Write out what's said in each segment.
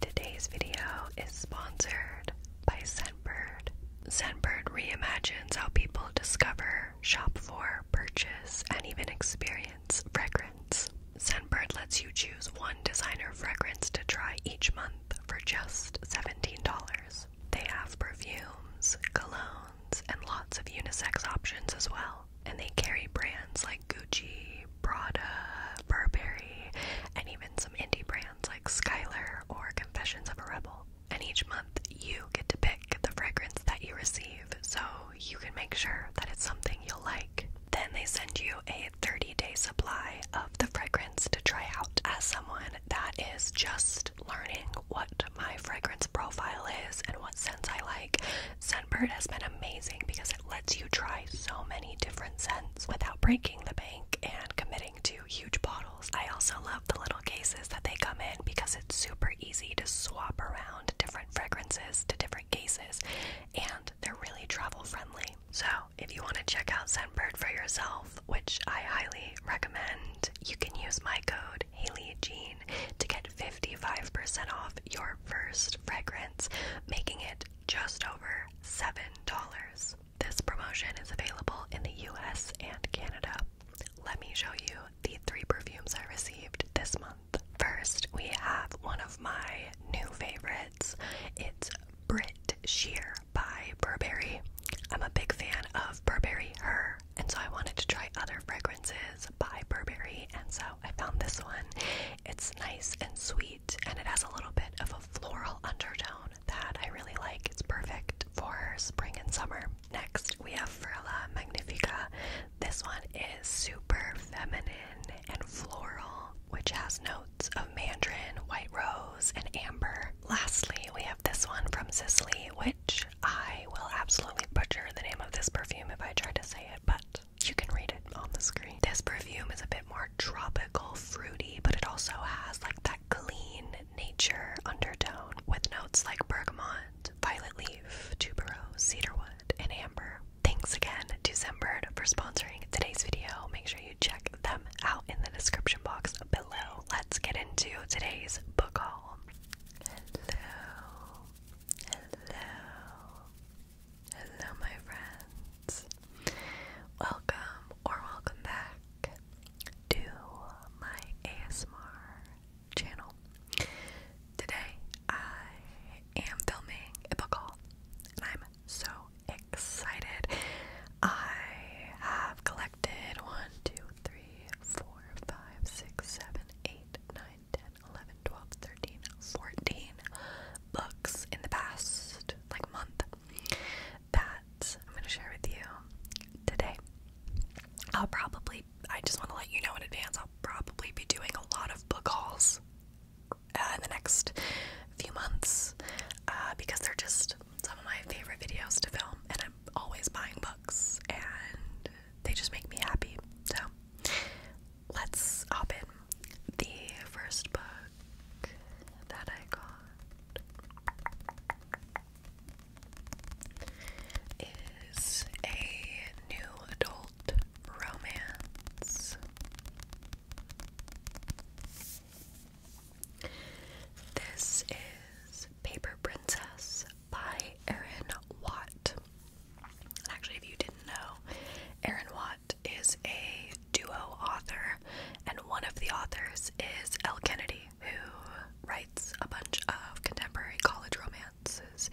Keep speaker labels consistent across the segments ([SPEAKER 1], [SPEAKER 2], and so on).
[SPEAKER 1] Today's video is sponsored by Scentbird. Scentbird reimagines how people discover, shop for, purchase, and even experience fragrance. Scentbird lets you choose one designer fragrance to try each month for just $17. They have perfumes, colognes, and lots of unisex options as well. And they carry brands like. Gucci, Prada, Burberry, and even some indie brands like Skylar or Confessions of a Rebel. And each month you get to pick the fragrance that you receive so you can make sure that it's something you'll like. Then they send you a 30 day supply of the fragrance to try out. As someone that is just learning what my fragrance profile is and what scents I like, Scentbird has been amazing because because it lets you try so many different scents without breaking the bank and committing to huge bottles. I also love the little cases that they come in because it's super easy to swap around different fragrances to different cases and they're really travel friendly. So, if you want to check out Scentbird for yourself, which I highly recommend, you can use my code HaleyJean to get 55% off your first fragrance, making it just over $7. This promotion is available in the US and Canada. Let me show you the three perfumes I received this month. First, we have one of my new favorites. It's Brit Sheer by Burberry. I'm a big fan of Burberry Her, and so I wanted to try other fragrances by Burberry, and so I found this one. It's nice and sweet and it has a little bit of a floral undertone that I really like. It's perfect for spring and summer. Next, we have Frilla Magnifica. This one is super feminine and floral, which has notes of mandarin, white rose, and amber. Lastly, we have this one from Sicily, which I will absolutely butcher the name of this perfume if I try to say it, but you can read it on the screen. This perfume is a bit more tropical, fruity, but it also has like that clean nature undertone with notes like bergamot, violet leaf, tuberose, cedarwood, and amber. Thanks again to Zembird for sponsoring today's video. Make sure you check them out in the description box below. Let's get into today's book haul. Hello. Hello, my friends. Welcome or welcome back to my ASMR channel. Today I am filming a book haul and I'm so excited. I have collected one, two, three, four, five, six, seven, eight, nine, ten, eleven, twelve, thirteen, fourteen books in the past like month that I'm going to share with you today. I'll probably, I just want to let you know in advance, I'll probably be doing a lot of book hauls uh, in the next few months uh, because they're just some of my favorite videos to film, and I'm always buying books, and they just make me happy. So, let's open The first book that I got is a new adult romance. This is Paper Princess by Erin Watt. actually, if you didn't know, Erin Watt is a duo author, and one of the authors is L. Kennedy, who writes a bunch of contemporary college romances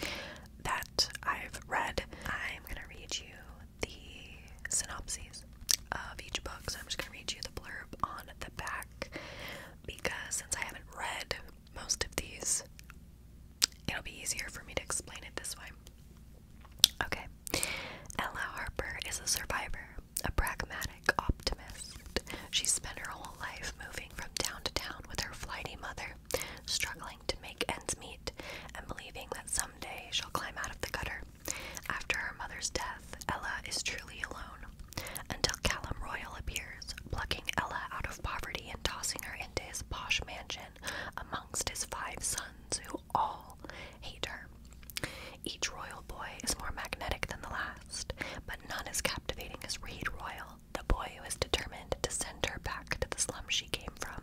[SPEAKER 1] that I've read. I'm gonna read you the synopses of each book, so I'm just gonna read you the blurb on the back because since I haven't read most of these, it'll be easier for me to explain it this way. Okay, Ella Harper is a survivor, a pragmatic optimist. She spent her whole life moving from town to town with her flighty mother, struggling to make ends meet and believing that someday she'll climb out of the gutter. After her mother's death, Ella is truly alone until Callum Royal appears, plucking Ella out of poverty and tossing her into his posh mansion amongst his five sons who all hate her. Each royal boy is more magnetic than the last, but none as captivating as Reed Royal, the boy who is determined to send her back to the slum she came from.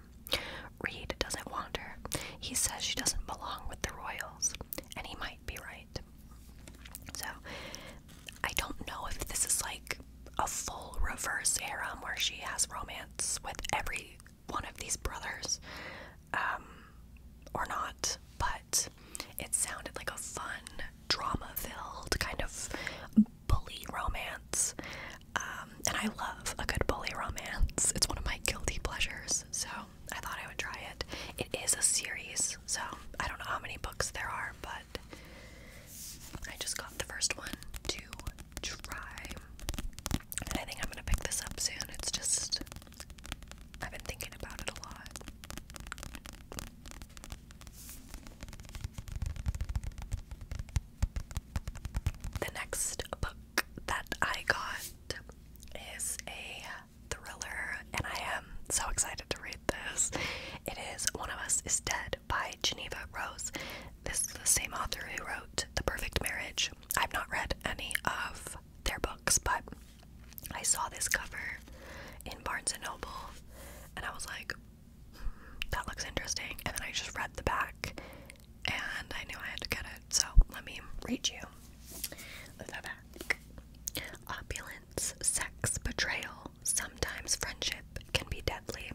[SPEAKER 1] Reed doesn't want her. He says she doesn't belong with the royals, and he might be right. So, I don't know if this is like a full reverse era where she has romance with every one of these brothers um, or not, but it sounded like a fun, drama filled kind of bully romance. Um, and I love a good bully romance, it's one of my guilty pleasures, so I thought I would try it. It is a series, so I don't know how many books there are, but I just got the first one, too dry. And I think I'm gonna pick this up soon. It's just I've been thinking about it a lot. The next book that I got is a thriller, and I am so excited to read this. It is One of Us is Dead by Geneva Rose. This is the same author who wrote The Perfect Marriage. I've not read any of their books, but I saw this cover in Barnes and Noble and I was like, hmm, that looks interesting. And then I just read the back and I knew I had to get it. So let me read you the back. Opulence, sex, betrayal, sometimes friendship can be deadly.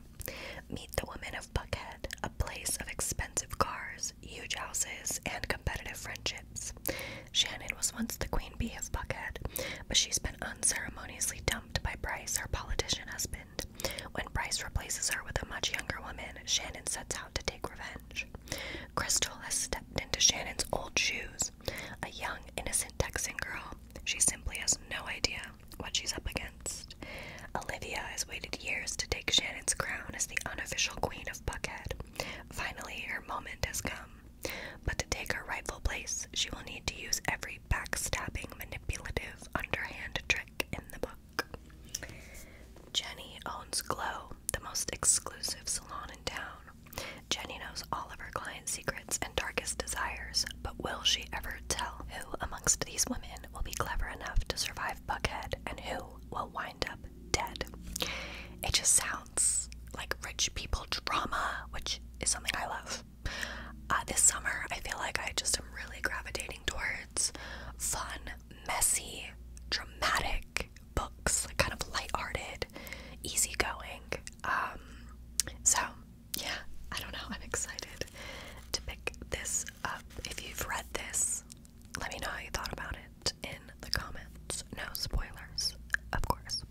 [SPEAKER 1] Meet the women of Buckhead, a place of expensive cars, huge houses, and competitive friendships. Shannon was once the queen bee of Buckhead, but she's been unceremoniously dumped by Bryce, her politician husband. When Bryce replaces her with a much younger woman, Shannon sets out to take revenge. Crystal has stepped into Shannon's old shoes, a young, innocent Texan girl. She simply has no idea what she's up against. Olivia has waited years to take Shannon's crown as the unofficial queen of Buckhead. Finally, her moment has come. But to take her rightful place, she will need to use every backstabbing, manipulative, underhand trick in the book. Jenny owns Glow, the most exclusive salon in town. Jenny knows all of her clients' secrets and darkest desires, but will she ever tell who amongst these women will be clever enough to survive Buckhead and who will wind up dead. It just sounds like rich people drama, which is something I love. Uh, this summer, I feel like I just am really gravitating towards fun, messy, dramatic books, like kind of lighthearted, easygoing. Um, so, yeah, I don't know. I'm excited to pick this uh, if you've read this. Let me know how you thought about it in the comments. No spoilers, of course.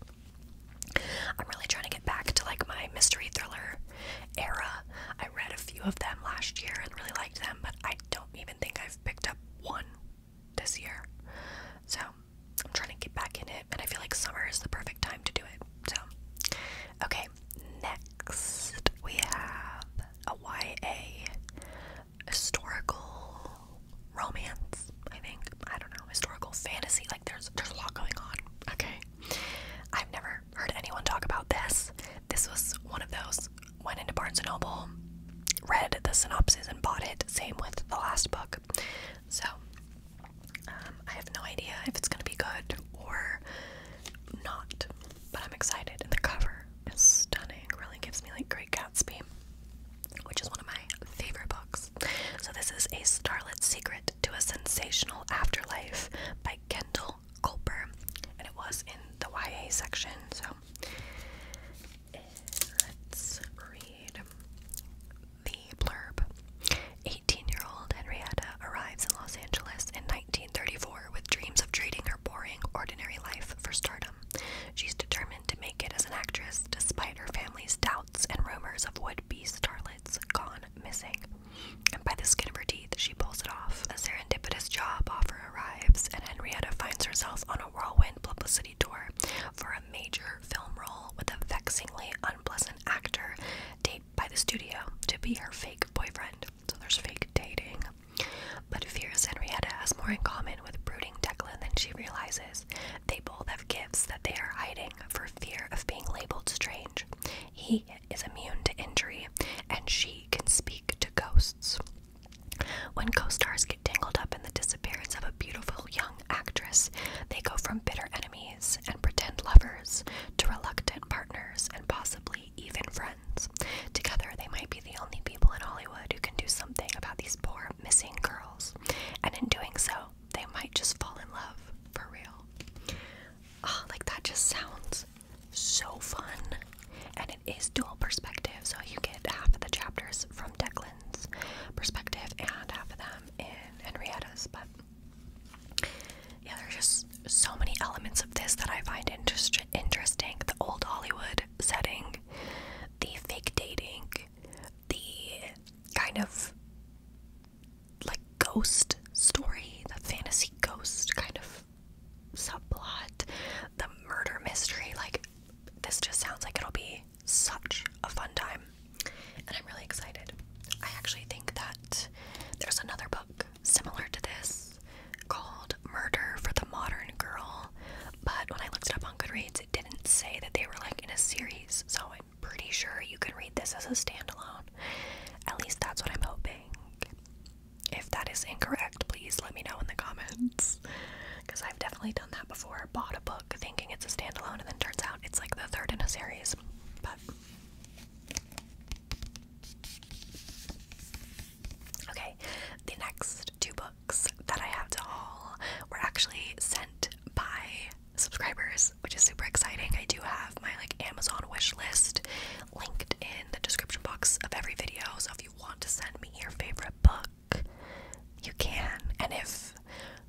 [SPEAKER 1] I'm really trying to get back to like my mystery thriller era. I read a few of them last year and really liked them, but I don't even think I've picked up one this year. So I'm trying to get back in it, and I feel like summer is the perfect time to do it. So, okay, next we have a YA historical romance, I think. I don't know, historical fantasy. Like there's there's a lot going on. Okay. I've never heard anyone talk about this. This was one of those went into Barnes and Noble, read the synopsis and bought it. Same with the last book. So um, I have no idea if it's gonna be good or not but I'm excited. And the cover is stunning. Really gives me like Great Gatsby, which is one of my favorite books. So this is A Starlit Secret to a Sensational Afterlife by Kendall Culper, and it was in the YA section. So let's read the blurb. 18 year old Henrietta arrives in Los Angeles in 1934 with dreams of trading her boring, ordinary life for stardom. She's determined to make it as an actress despite her family's doubts and rumors of would be starlets gone missing. And by the skin of her teeth, she pulls it off. A serendipitous job offer arrives, and Henrietta finds herself on a whirlwind publicity tour for a major film role with a vexingly unpleasant actor taped by the studio to be her fake boyfriend. So there's fake dating. But fierce Henrietta has more in common with brooding Declan than she realizes. They both have gifts that they are hiding for fear of being labeled strange. He is immune to injury, and she can speak to ghosts. When co-stars get tangled up in the disappearance of a beautiful young actress, they go from bitter enemies and pretend lovers to reluctant partners and possibly even friends. Together, they might be the only people in Hollywood who can do something about these poor missing girls. And in doing so, they might just fall in love for real. Oh, like that just sounds so fun. And it is dual perspective, so you get half of the chapters from Declan's perspective and half of them in Henrietta's. But yeah, there's just so many elements of this that I find interest interesting. The old Hollywood setting, the fake dating, the kind of like ghost story, the fantasy ghost kind of subplot, the murder mystery. Like, this just sounds like it'll be such a fun time. And I'm really excited. I actually think that there's another book similar to this called Murder for the Modern Girl, but when I looked it up on Goodreads, it didn't say that they were like in a series, so I'm pretty sure you can read this as a standalone. At least that's what I'm hoping. If that is incorrect, please let me know in the comments. Because I've definitely done that before. Bought a book thinking it's a standalone, and then turns out it's like the third in a series. But Okay, the next two books that I have to haul were actually sent by subscribers, which is super exciting. I do have my like Amazon wishlist linked in the description box of every video, so if you want to send me your favorite book, you can. And if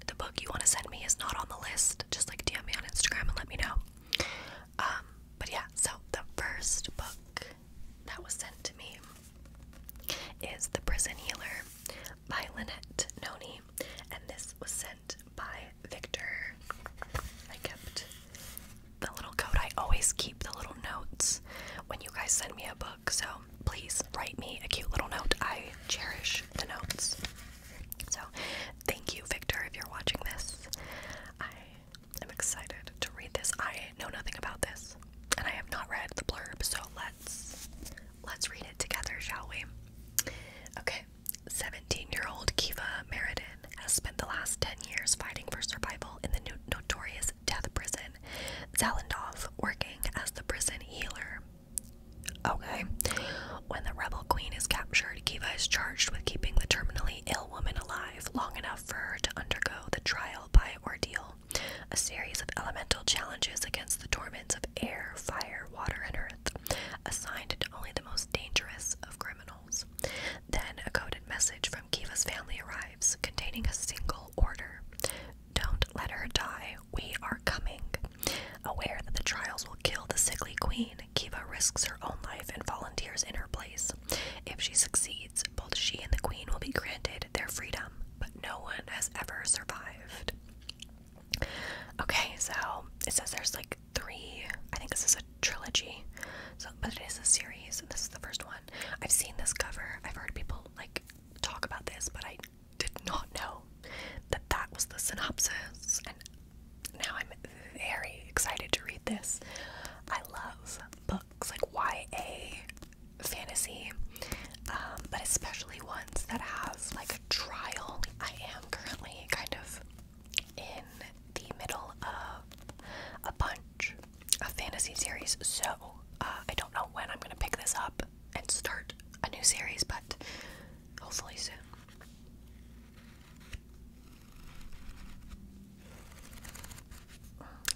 [SPEAKER 1] the book you want to send me is not on the list, just like DM me on Instagram and let me know. Um, but yeah, so the first book that was sent to me is The Prison Healer by Lynette Noni, and this was sent by Victor. I kept the little code. I always keep the little notes when you guys send me a book, so please write me a cute little note. I cherish the notes. So, thank you, Victor, if you're watching this. I am excited to read this. I know nothing about this, and I have not read the blurb. So let's let's read it together, shall we? Okay. 17-year-old Kiva Meriden has spent the last 10 years fighting for survival in the notorious death prison, Zalendov, working as the prison healer. Okay when the rebel queen is captured, Kiva is charged with keeping the terminally ill woman alive long enough for her to undergo the trial by ordeal, a series of elemental challenges against the torments of air, fire, water, and earth, assigned to only the most dangerous of criminals. Then a coded message from Kiva's family arrives, containing a single order. Don't let her die. We are coming. Aware that the trials will kill the sickly queen, Kiva risks her own life and volunteers in her place. If she succeeds, both she and the queen will be granted their freedom, but no one has ever survived. Okay, so it says there's like three, I think this is a trilogy, so but it is a series, and this is the first one. I've seen this cover, I've heard people like talk about this, but I did not know that that was the synopsis, and now I'm very excited to read this. I love books like YA fantasy, um, but especially ones that have like a trial. I am currently kind of in the middle of a bunch of fantasy series, so uh, I don't know when I'm gonna pick this up and start a new series, but hopefully soon.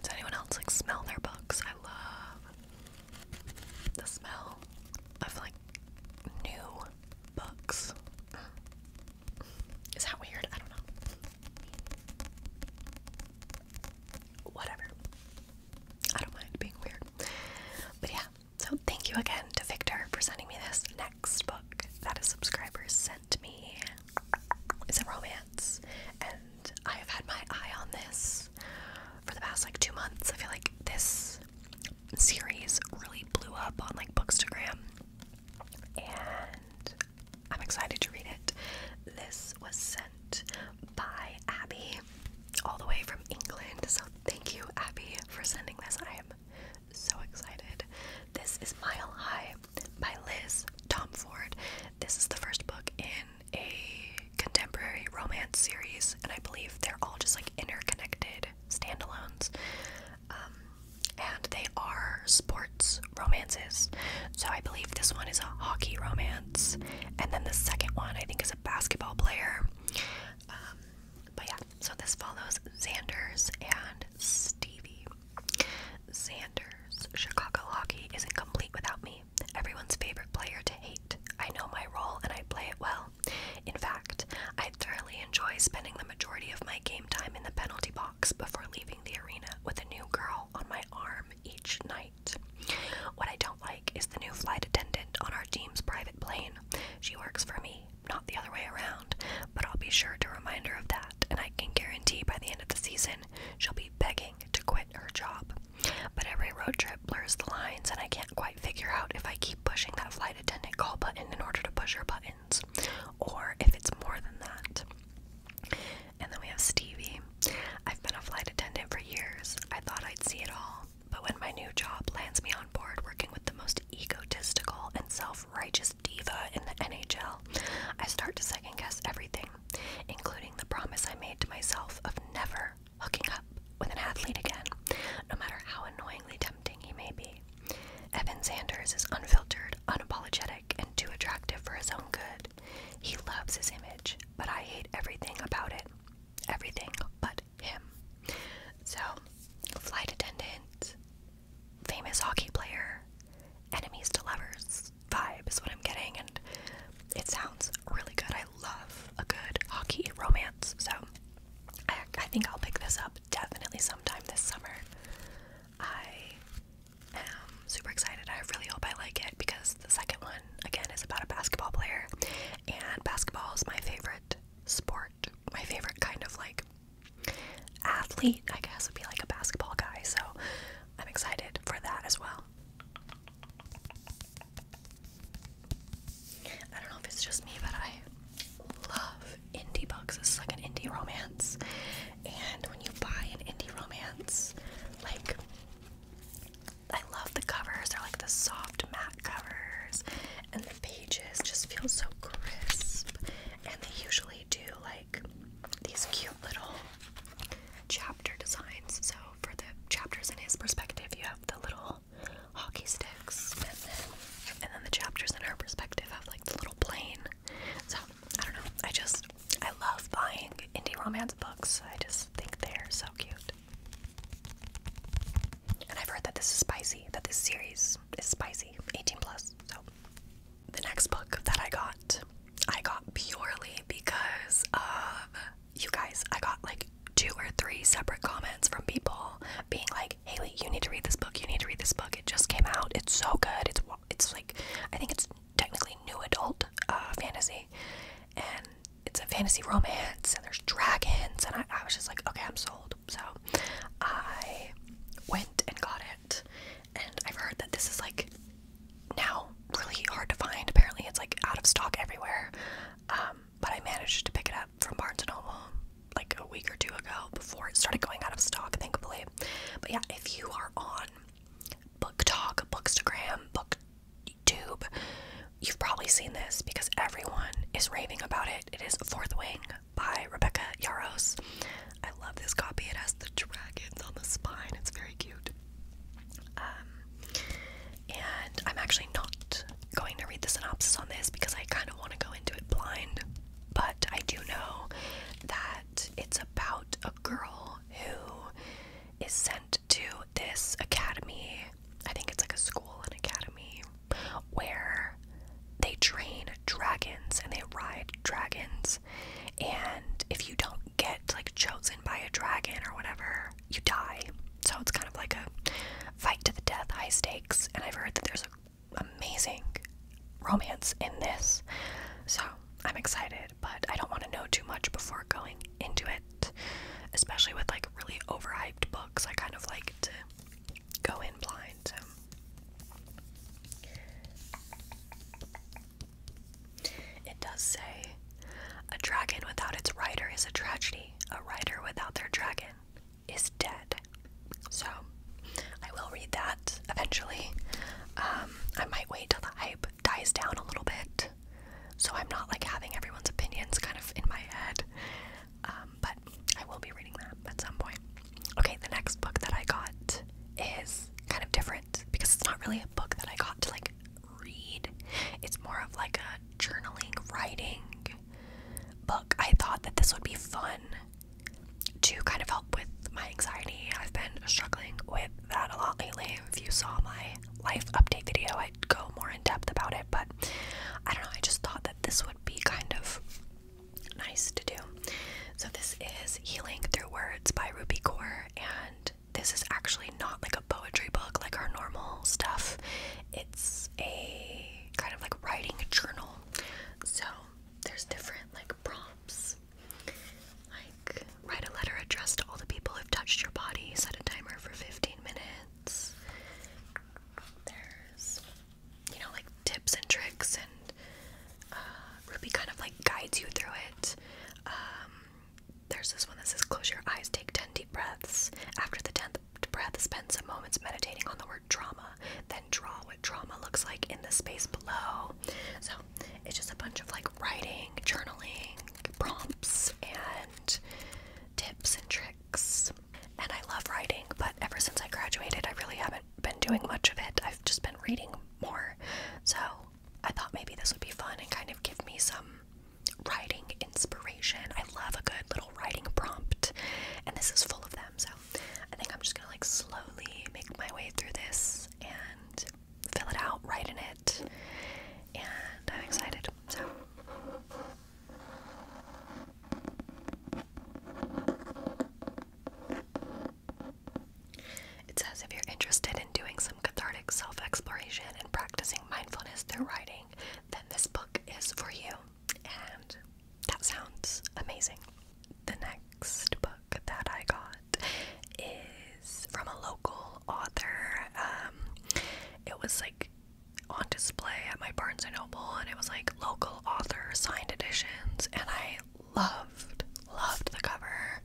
[SPEAKER 1] Does anyone else like smell their books? I love the smell of like new books. Is that weird? I don't know. Whatever. I don't mind being weird. But yeah, so thank you again to Victor for sending me this next book that a subscriber sent me is a romance, and I have had my eye on this for the past like two months. I feel like this series really blew up on like Bookstagram, and I'm excited to read it. This was sent by Abby all the way from England, so thank you, Abby, for sending this. I am so excited. This is Mile High by Liz Tom Ford. This is the first book in a contemporary romance series, and I believe they're all just like interconnected standalones. Um, and they are sports romances. So I believe this one is a hockey romance, and then the second one I think is a basketball player. Um, but yeah, so this follows Xander's and Stevie. Xander's Chicago hockey isn't complete without me. Everyone's favorite player to hate. I know my role and I play it well. In fact, I thoroughly enjoy spending the majority of my game time in the penalty box before leaving the arena with a new girl on my arm each night. What I don't like is the new flight attendant on our team's private plane. She works for me not the other way around, but I'll be sure to remind her of that, and I can guarantee by the end of the season she'll be begging to quit her job. But every road trip blurs the lines, and I can't quite figure out if I keep pushing that flight attendant call button in order to push her buttons, or if it's more than that. And then we have Stevie. I've been a flight attendant for years. I thought I'd see it all. But when my new job lands me on board working with the most egotistical and self righteous diva in the NHL, I start to second guess everything, including the promise I made to myself of never hooking up with an athlete again, no matter how annoyingly tempting he may be. Evan Sanders is unfiltered, unapologetic, and too attractive for his own good. He loves his image, but I hate everything about it. Everything but him. So, flight attendant, famous hockey player enemies to lovers vibe is what I'm getting, and it sounds really good. I love a good hockey romance, so I, I think I'll pick this up definitely sometime this summer. I am super excited. I really hope I like it because the second one, again, is about a basketball player, and basketball is my favorite sport my favorite kind of like athlete, I guess, would be like a basketball guy. So I'm excited for that as well. I don't know if it's just me, but I love indie books. It's like an indie romance. And when you buy an indie romance, like I love the covers. They're like the soft matte covers and the pages just feel so crisp. And they usually do like these cute little chapter designs. So for the chapters in his perspective, you have the little hockey sticks, and then the chapters in her perspective have like the little plane. So I don't know. I just I love buying indie romance books. I just think they're so cute. And I've heard that this is spicy, that this series is, spicy, 18 plus. So, the next book that I got, I got purely because of you guys. I got like two or three separate comments from people being like, Haley, you need to read this book. You need to read this book. It just came out. It's so good. It's, it's like, I think it's technically new adult uh, fantasy. And it's a fantasy romance and there's dragons. And I was just like, okay, I'm sold. So I went and got it, and I've heard that this is like now really hard to find. Apparently, it's like out of stock everywhere. Um, but I managed to pick it up from Barnes and Noble like a week or two ago before it started going out of stock, thankfully. But yeah, if you are on Book Talk, Bookstagram, BookTube, you've probably seen this because everyone is raving about it. It is Fourth Wing by Rebecca Yaros. I love this copy. It has the dragons on the spine. It's very cute. Um, and I'm actually not going to read the synopsis on this because I kind of want to go into it blind. But I do know that it's about a girl who is sent to this academy. I think it's like a school, an academy, where they train dragons and they ride dragons. And if you don't get like chosen by a dragon or whatever, you die. So it's kind of like a fight to the death, high stakes. And I've heard that there's an amazing romance in this. So I'm excited, but I don't want to know too much before going into it, especially with like really overhyped books. I kind of like to go in blind. It does say, a dragon without its rider is a tragedy. A rider without their dragon is dead. So, I will read that eventually. Um, I might wait till the hype dies down a little bit, so I'm not like having everyone's opinions kind of in my head. Um, but I will be reading that at some point. Okay, the next book that I got is kind of different because it's not really a book that I got to like read. It's more of like a journaling, writing book. I thought that this would be fun to kind of help with my anxiety. I've been struggling with that a lot lately. If you saw my life update video, I'd go more in depth about it, but I don't know. I just thought that this would be kind of nice to do. So this is Healing Through Words by Rupi Kaur and this is actually not like a poetry book like our normal stuff. It's a kind of like writing journal. So there's different like prompts. Like write a letter addressed to all the people who've touched your body, set a timer for 15 minutes. There's you know, like tips and tricks, and uh, Ruby kind of like guides you through it. Um, there's this one that says, Close your eyes, take 10 deep breaths. After the 10th breath, spend some moments meditating on the word trauma, then draw what trauma looks like in the space below. So it's just a bunch of like writing, journaling, prompts, and tips and tricks. And I love writing, but ever since I graduated, I really haven't been doing much of it. I've just been reading more. So I thought maybe this would be fun and kind of give me some writing inspiration. I love a good little writing prompt, and this is full of them. So I think I'm just gonna like slowly make my way through this and fill it out, write in it, and I'm excited. So. It says if you're interested in doing some cathartic self exploration and practicing mindfulness through writing, then this book is for you. And that sounds amazing. The next book that I got is from a local author. Um, it was like on display at my Barnes and Noble, and it was like local author signed editions, and I loved, loved the cover.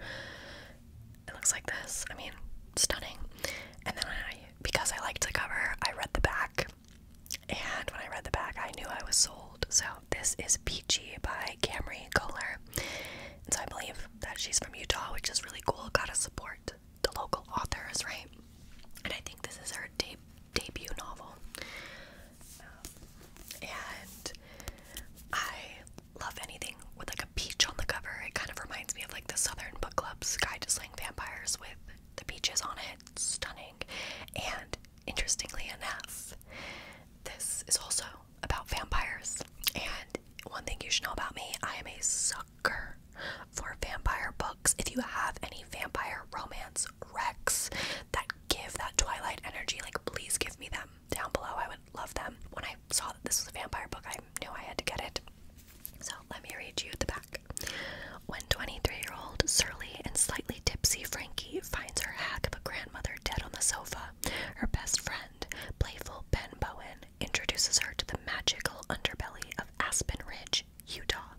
[SPEAKER 1] It looks like this. I mean, stunning. And then I, because I liked the cover, I read the back. And when I read the back, I knew I was sold. So this is Peachy by Camry Kohler. And so I believe that she's from Utah, which is really cool. Gotta support the local authors, right? And I think this is her deep debut novel. Um, and I love anything with like a peach on the cover. It kind of reminds me of like the Southern Book Club's Guide to Slaying Vampires with the peaches on it. stunning. And interestingly enough, this is also about vampires. And one thing you should know about me, I am a sucker for vampire books. If you have any vampire romance wrecks that give that Twilight energy, like please give me them down below. I would love them. When I saw that this was a vampire book, I knew I had to get it. So let me read you the back. When 23 year old surly and slightly tipsy Frankie finds her hack of a grandmother dead on the sofa, her best friend, playful Ben Bowen, introduces her to the magical underbelly of Aspen Ridge, Utah.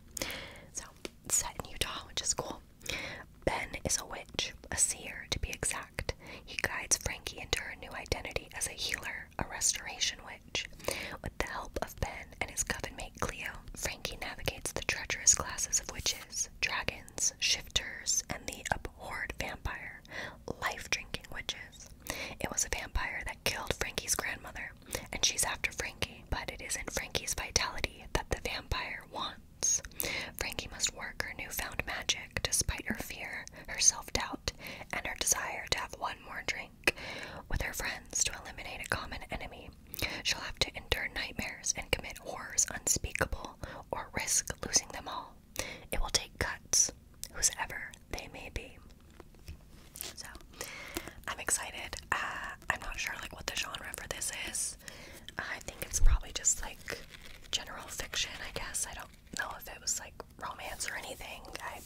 [SPEAKER 1] So set in Utah, which is cool. Ben is a witch, a seer to be exact. He guides Frankie into her new identity as a healer, a restoration witch. With the help of Ben and his coven mate Cleo, Frankie navigates the treacherous classes of witches, dragons, shifters, and the abhorred vampire, life drinking witches. It was a vampire that killed Frankie's grandmother and she's after Frankie, but it isn't Frankie's vitality that the vampire wants. Frankie must work her newfound magic despite her fear, her self doubt, and her desire to have one more drink with her friends to eliminate a common enemy. She'll have to endure nightmares and commit horrors unspeakable or risk losing them all. It will take cuts, whosoever they may be. So I'm excited. Uh, I'm not sure like what the genre for this is. I think it's probably just like general fiction. I guess I don't know if it was like romance or anything. I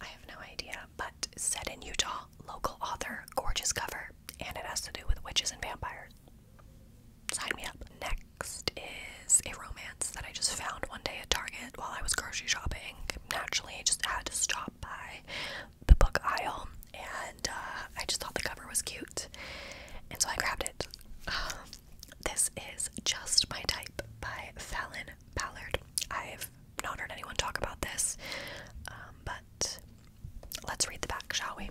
[SPEAKER 1] I have no idea. But set in Utah, local author, gorgeous cover, and it has to do with witches and vampires. Sign me up. Next is a romance that I just found one day at Target while I was grocery shopping. Naturally, I just had to stop by the book aisle, and uh, I just thought the cover was cute, and so I grabbed it. this is Just My Type by Fallon Ballard. I've not heard anyone talk about this, um, but let's read the back, shall we?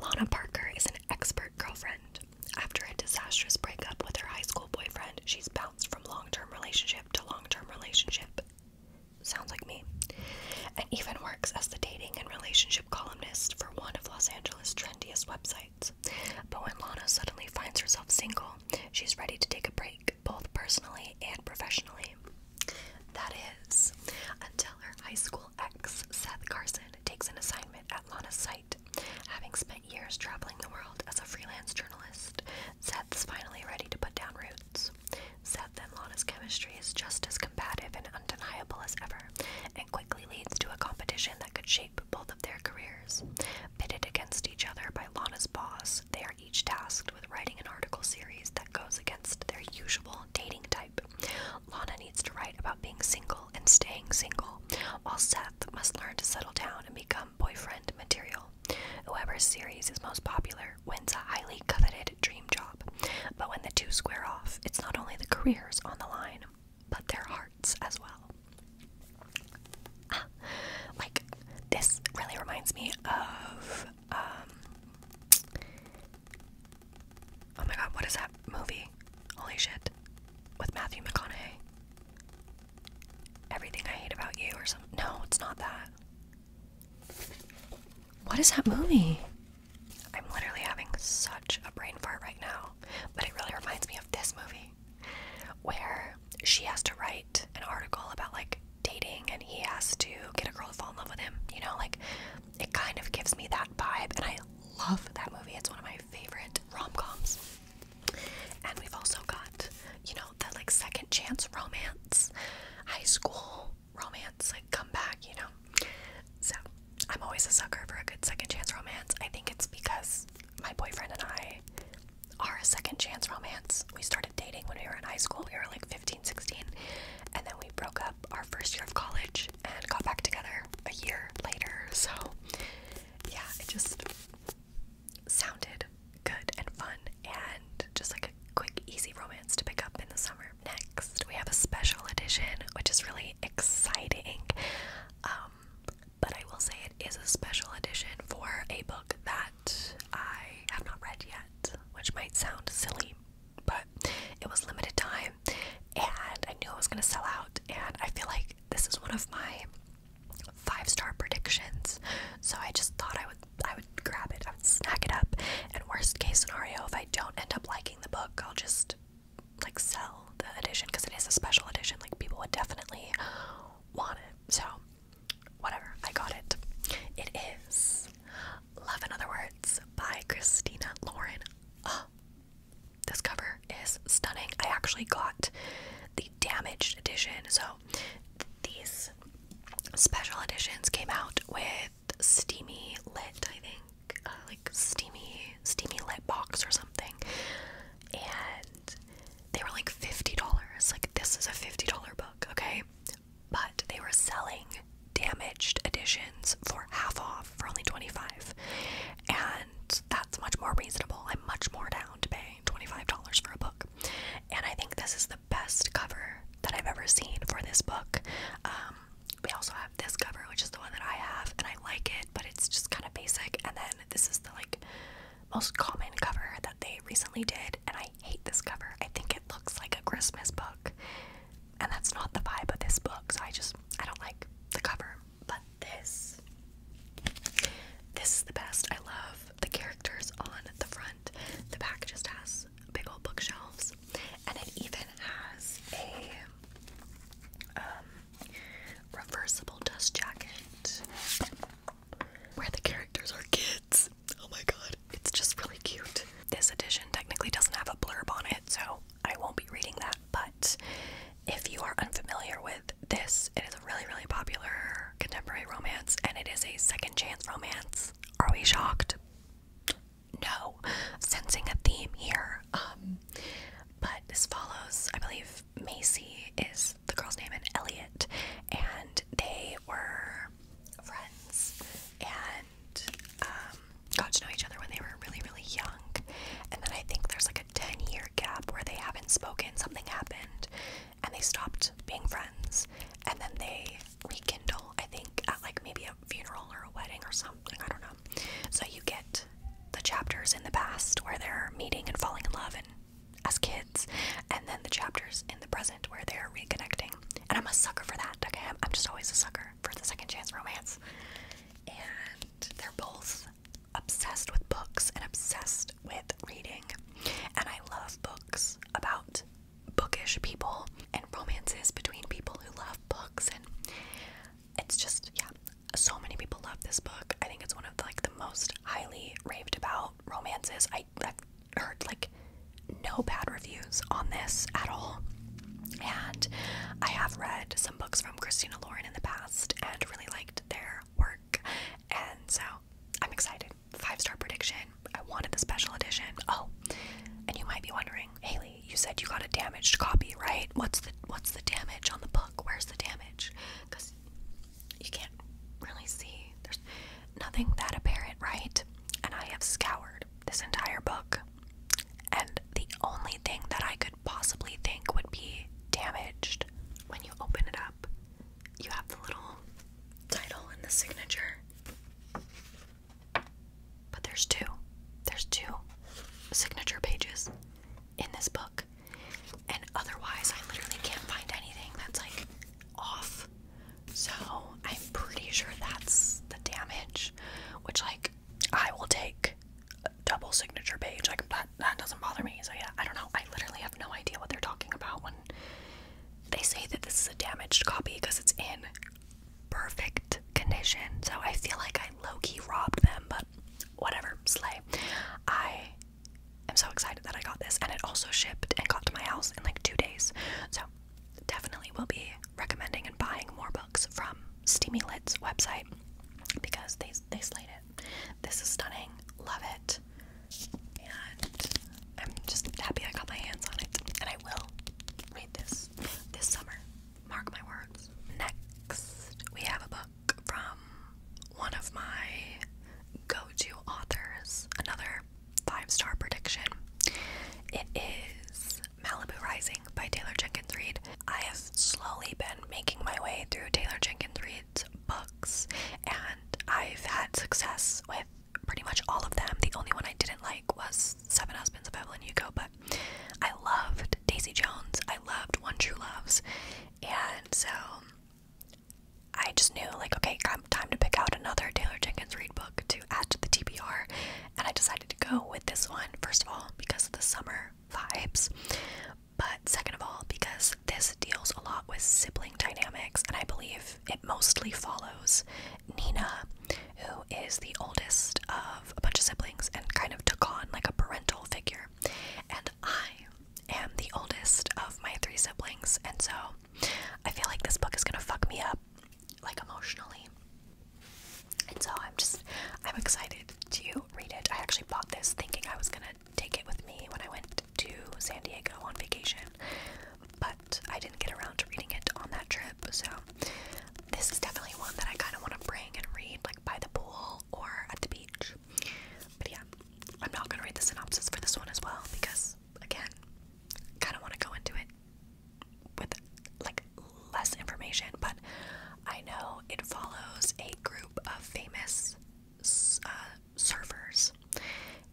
[SPEAKER 1] Lana Parker is an expert girlfriend. After a disastrous breakup with her high school boyfriend, she's bounced from long term relationships partnership to long term relationship. Sounds like me. And even works as the dating and relationship columnist for one of Los Angeles' trendiest websites. But when Lana suddenly finds herself single, she's ready to take a break, both personally and professionally. That is, until her high school ex, Seth Carson, takes an assignment at Lana's site. Having spent years traveling the world as a freelance journalist, Seth is finally ready to put down roots. Seth and Lana's chemistry is just as combative and undeniable as ever, and quickly leads to a competition that could shape both of their careers. Pitted against each other by Lana's boss, they are each tasked with writing an article series that goes against their usual dating type. Lana needs to write about being single and staying single, while Seth must learn to settle down and become um, boyfriend material. Whoever's series is most popular wins a highly coveted dream job. But when the two square off, it's not only the careers on the line, but their hearts as well. like, this really reminds me of. Um, oh my god, what is that movie? Holy shit. With Matthew McConaughey. Everything I hate about you or something. No, it's not that. What is that movie? I'm literally having such a brain fart right now, but it really reminds me of this movie where she has to write an article about like dating and he has to get a girl to fall in love with him. You know, like it kind of gives me that vibe, and I love that movie. It's one of my favorite rom coms. And we've also got, you know, the like second chance romance, high school romance, like come back, you know. So I'm always a sucker for a good second chance romance. I think it's because my boyfriend and I are a second chance romance. We started dating when we were in high school. We were like 15, 16. And then we broke up our first year of college and got back together a year later. So yeah, it just sounded good and fun and just like a quick, easy romance to pick up in the summer. Next, we have a special edition, which is really exciting. Um, but I will say it is a special edition for a book that I have not read yet, which might sound silly, but it was limited time and I knew it was going to sell out. And I feel like this is one of my five star predictions. So I just thought I would I would grab it, I would snag it up, and worst case scenario, if I don't end up liking the book, I'll just like sell the edition because it is a special edition. Like people would definitely want it. So whatever, I got it. It is Love in Other Words by Christina Lauren. Oh, this cover is stunning. I actually got the damaged edition. So these special editions came out with Steamy Lit, I think, uh, like Steamy Steamy Lit box or something, and they were like fifty dollars. Like this is a fifty dollar book, okay? But they were selling damaged editions for half off for only twenty five, and that's much more reasonable. I'm much more down to pay $25 for a book. And I think this is the best cover that I've ever seen for this book. Um, we also have this cover, which is the one that I have, and I like it, but it's just kind of basic. And then this is the like most common cover that they recently did, and I hate this cover. I think it looks like a Christmas book, and that's not the vibe of this book. So I just I don't like the cover but this this is the best. I love the characters on the front. The back just has big old bookshelves, and it even has a um, reversible dust jacket where the characters are kids. Oh my god, it's just really cute. This edition technically doesn't have a blurb on it, so I won't be reading that. But if you are unfamiliar with this. It is a really, really popular contemporary romance, and it is a second chance romance. Are we shocked? No. Sensing a theme here. Um, but this follows, I believe, Macy is the girl's name and Elliot, and they were friends and um, got to know each other when they were really, really young. And then I think there's like. 10 year gap where they haven't spoken, something happened, and they stopped being friends. And then they rekindle, I think, at like maybe a funeral or a wedding or something. I don't know. So you get the chapters in the past where they're meeting and falling in love and as kids, and then the chapters in the present where they're reconnecting. And I'm a sucker for that. Okay, I'm just always a sucker for the second chance romance. And they're both obsessed with books and obsessed with reading. And I love books about bookish people and romances between people who love books and it's just yeah, so many people love this book. I think it's one of the, like the most highly raved about romances. I, I've heard like no bad reviews on this at all. And I have read some books from Christina Lauren in the past and really liked their work. And so I'm excited. Five star prediction. I wanted the special edition. Oh, and you might be wondering, Haley, you said you got a damaged copy, right? What's the what's the damage on the book? Where's the damage? Because you can't really see. There's nothing that apparent, right? And I have scoured this entire book. And the only thing that I could possibly think would be damaged. When you open it up, you have the little title and the signature. But there's two. There's two signature pages in this book. And otherwise, I literally can't find anything that's like off. So I'm pretty sure that's the damage, which, like, I will take double signature page. Like that that doesn't bother me. So yeah, I don't know. I literally have no idea what they're talking about when they say that this is a damaged copy because it's in perfect condition. So I feel like I Loki robbed them, but whatever, slay. I am so excited that I got this and it also shipped and got to my house in like two days. So definitely will be recommending and buying more books from Steamy Lit's website because these they, they slayed it. This is stunning. Love it. And I'm just happy I got my hands on it. And I will read this this summer. Mark my words. Next, we have a book from one of my go to authors. Another five star prediction. It is Malibu Rising by Taylor Jenkins Reid. I have slowly been making my way through Taylor Jenkins Reid's books, and I've had success with pretty much all of them. The only one I didn't like was Seven Husbands of Evelyn Hugo, but I loved Daisy Jones, I loved One True Loves, and so I just knew, like, okay, time to pick out another Taylor Jenkins read book to add to the TBR, and I decided to go with this one, first of all, because of the summer vibes, but second of all, because this deals a lot with sibling dynamics, and I believe it mostly follows Nina, who is the oldest of a bunch of siblings and kind of took on like a parental figure. And I am the oldest of my three siblings, and so I feel like this book is gonna fuck me up, like emotionally. And so I'm just, I'm excited to read it. I actually bought this thinking I was gonna take it with me when I went to San Diego on vacation, but I didn't get around to reading it on that trip. So, this is definitely one that I kind of want to bring and read, like by the pool or at the beach. But yeah, I'm not going to read the synopsis for this one as well because, again, kind of want to go into it with like less information, but I know it follows a group of famous uh,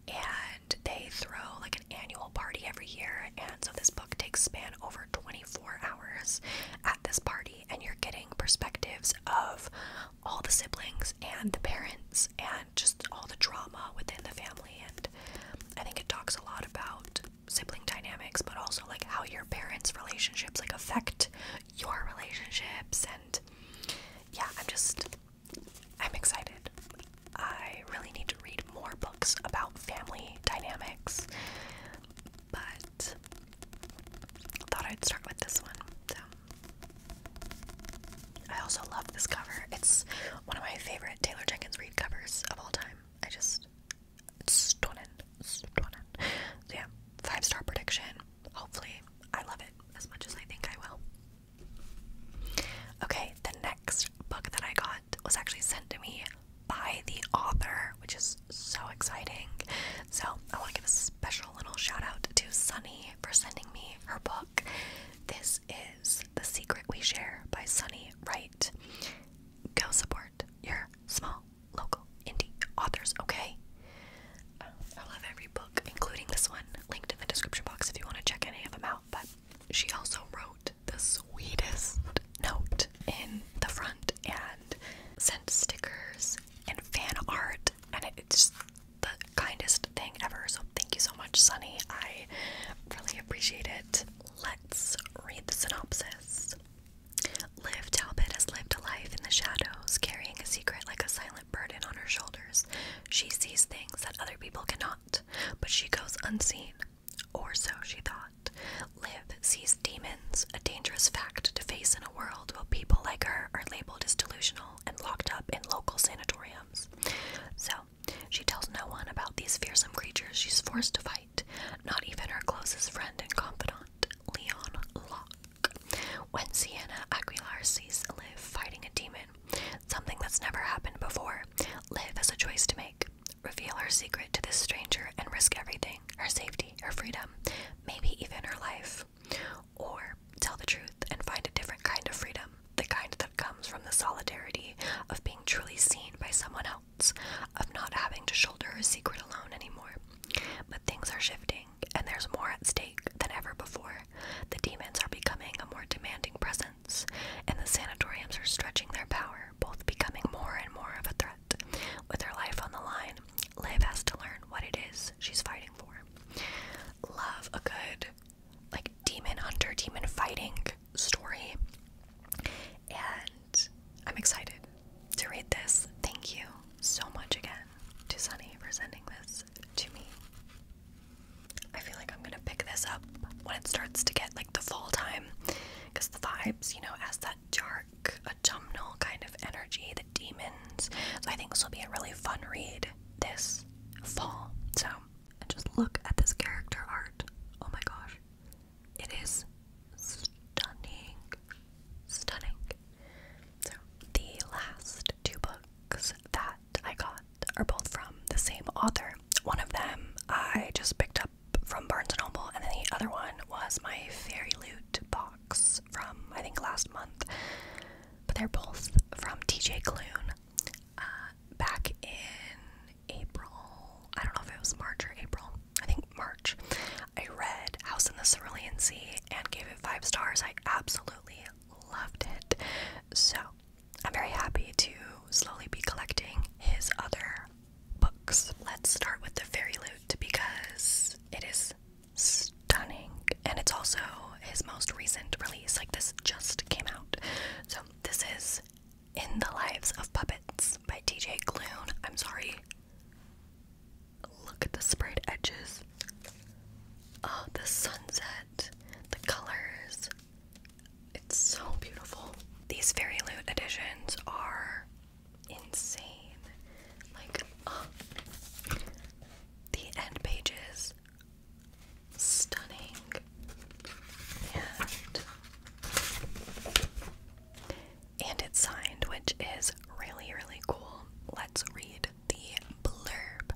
[SPEAKER 1] and they throw like an annual party every year. And so this book takes span over 24 hours at this party, and you're getting perspectives of all the siblings and the parents, and just all the drama within the family. And I think it talks a lot about sibling dynamics, but also like how your parents' relationships like affect your relationships and yeah, I'm just I'm excited. I really need to read more books about family dynamics. But thought I'd start with this one. So I also love this cover. It's one of my favorite Taylor Jenkins Reid covers of all time. I just it's stunning. yeah, five star prediction hopefully I love it as much as I think I will. Okay, the next book that I got was actually sent to me by the author, which is so exciting. So I want to give a special little shout out to Sunny for sending me her book. This is The Secret We Share by Sunny Wright. Go support your small local indie authors, okay? I love every book, including this one, linked in the description box if you want to check any of them out. But she also wrote the sweetest note in the front and sent stickers and fan art, and it's the kindest thing ever. So thank you so much, Sunny. I really appreciate it. Let's read the synopsis. Liv Talbot has lived a life in the shadows, carrying a secret like a silent burden on her shoulders. She sees things that other people cannot, but she goes unseen. Or so she thought. Liv sees demons, a dangerous fact to face in a world where people like her are labeled as delusional and locked up in local sanatoriums. So, she tells no one about these fearsome creatures she's forced to fight, not even her closest friend and confidant, Leon Locke. When Sienna Aguilar sees Liv fighting a demon, something that's never happened before, Liv has a choice to make reveal her secret to this stranger and risk everything her safety, her freedom, maybe even her life. Or tell the truth and find a different kind of freedom, the kind that comes from the solidarity of being truly seen by someone else, of not having to shoulder her secret alone anymore. But things are shifting and there's more at stake than ever before. The demons are becoming a more demanding presence, and the sanatoriums are stretching their power, both becoming more and more of a threat. With her life on the line, Liv has to learn what it is she's fighting for. Love a good, like, demon hunter, demon fighting story, and I'm excited to read this. Thank you so much again to Sunny for sending this to me. I feel like I'm gonna pick this up when it starts to get like the fall time because the vibes, you know, as that dark autumnal kind of energy, the demons. So I think this will be a really fun read this fall. So and just look at this character art. Oh my gosh. It is stunning. Stunning. So, the last two books that I got are both from the same author. One of them I just picked up from Barnes & Noble, and then the other one was my Fairy Loot box from, I think, last month. But they're both from TJ Klune. Uh, back in April, I don't know if it was March or April, I think March, I read House in the Cerulean Sea and gave it five stars. I absolutely loved it. So I'm very happy to slowly be collecting his other books. Let's start with The Fairy Loot because it is stunning and it's also his most recent release. Like, this just came out. So, this is In the Lives of Puppets by TJ Klune. I'm sorry. Look at the sprayed edges. Oh, the sunset, the colors. It's so beautiful. These Fairy Loot editions are insane. Like, oh, the end pages, stunning. And and it's signed, which is really, really cool. Let's read the blurb.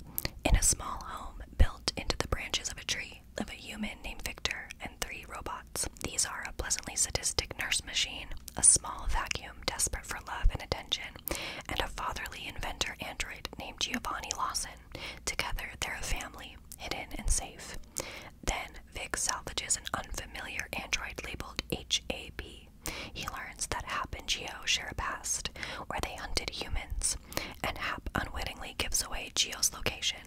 [SPEAKER 1] In a small home built into the branches of a tree live a human named Victor and three robots. These are a pleasantly sadistic nurse machine, a small vacuum desperate for love and attention, and a fatherly inventor android named Giovanni Lawson. Together, they're a family, hidden and safe. Then, Vic salvages an unfamiliar android labeled HAB he learns that Hap and Geo share a past where they hunted humans, and Hap unwittingly gives away Geo's location.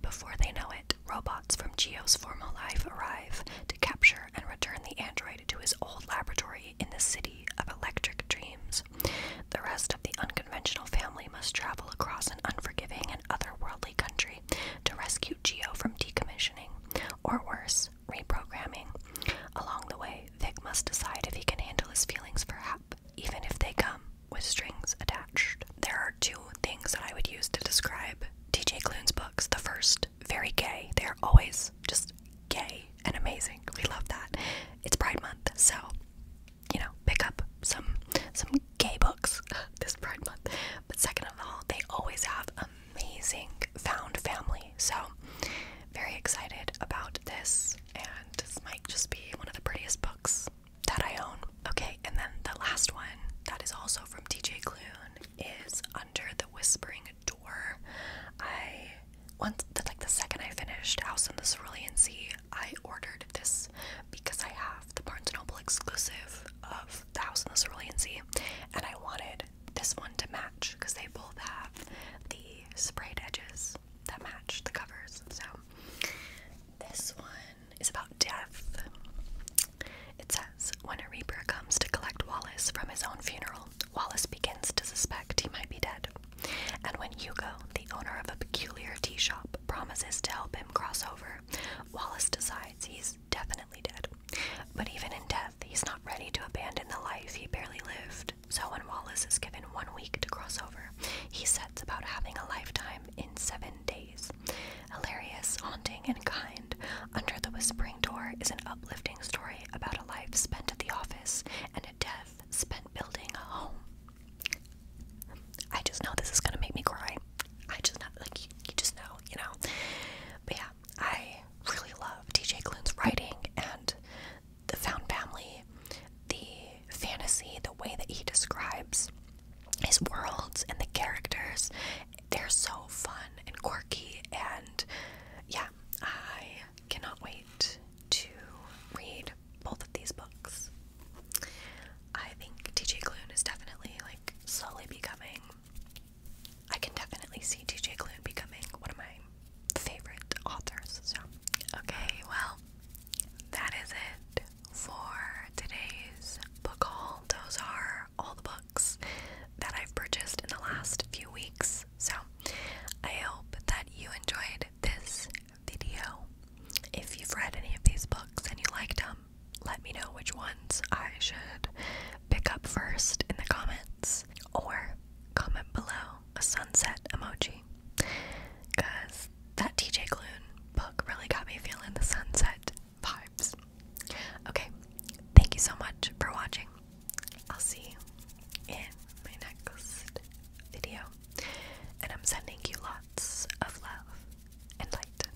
[SPEAKER 1] Before they know it, robots from Geo's former life arrive to capture and return the android to his old laboratory in the city of electric dreams. The rest of the unconventional family must travel across an unforgiving and otherworldly country to rescue Geo from decommissioning, or worse, reprogramming. Along the way, Vic must decide if he can handle his feelings for Hap, even if they come with strings attached. There are two things that I would use to describe T.J. Klune's books. The first, very gay. They are always just gay and amazing. We love that. It's Pride Month, so you know, pick up some some gay books this Pride Month. But second of all, they always have amazing found family. So, very excited about this, and this might just be one of the prettiest books that I own. Okay, and then the last one that is also from TJ Klune is Under the Whispering Door. I once, the, like the second I finished House in the Cerulean Sea, I ordered this because I have the Barnes & Noble exclusive of the House in the Cerulean Sea, and I wanted this one to match because they both have the sprayed edges that match the covers. So this one is about death. It says when a reaper comes to collect Wallace from his own funeral, Wallace begins to suspect he might be dead. And when Hugo, the owner of a peculiar tea shop, promises to help him cross over, Wallace decides he's definitely dead. But even in death, he's not ready to abandon the life he barely lived. So when Wallace is given one week to cross over, he sets about having a lifetime in seven days. Hilarious, haunting, and kind, Under the Whispering Door is an uplifting story about a life spent at the office and a death spent building a home. I just know this is gonna make me cry. I just know, like, you just know, you know. But yeah, I really love DJ Clune's writing and the found family, the fantasy, the way that he describes his worlds and the characters. They're so fun and quirky, and yeah, I cannot wait to read both of these books. I think DJ Clune is definitely like slowly becoming I can definitely see DJ Clue becoming one of my favorite authors. So, okay, well, that is it for today's book haul. Those are all the books that I've purchased in the last few weeks. So, I hope that you enjoyed this video. If you've read any of these books and you liked them, let me know which ones I should pick up first in the comments or comment below a sunset emoji because that TJ Clune book really got me feeling the sunset vibes. Okay, thank you so much for watching. I'll see you in my next video, and I'm sending you lots of love and light.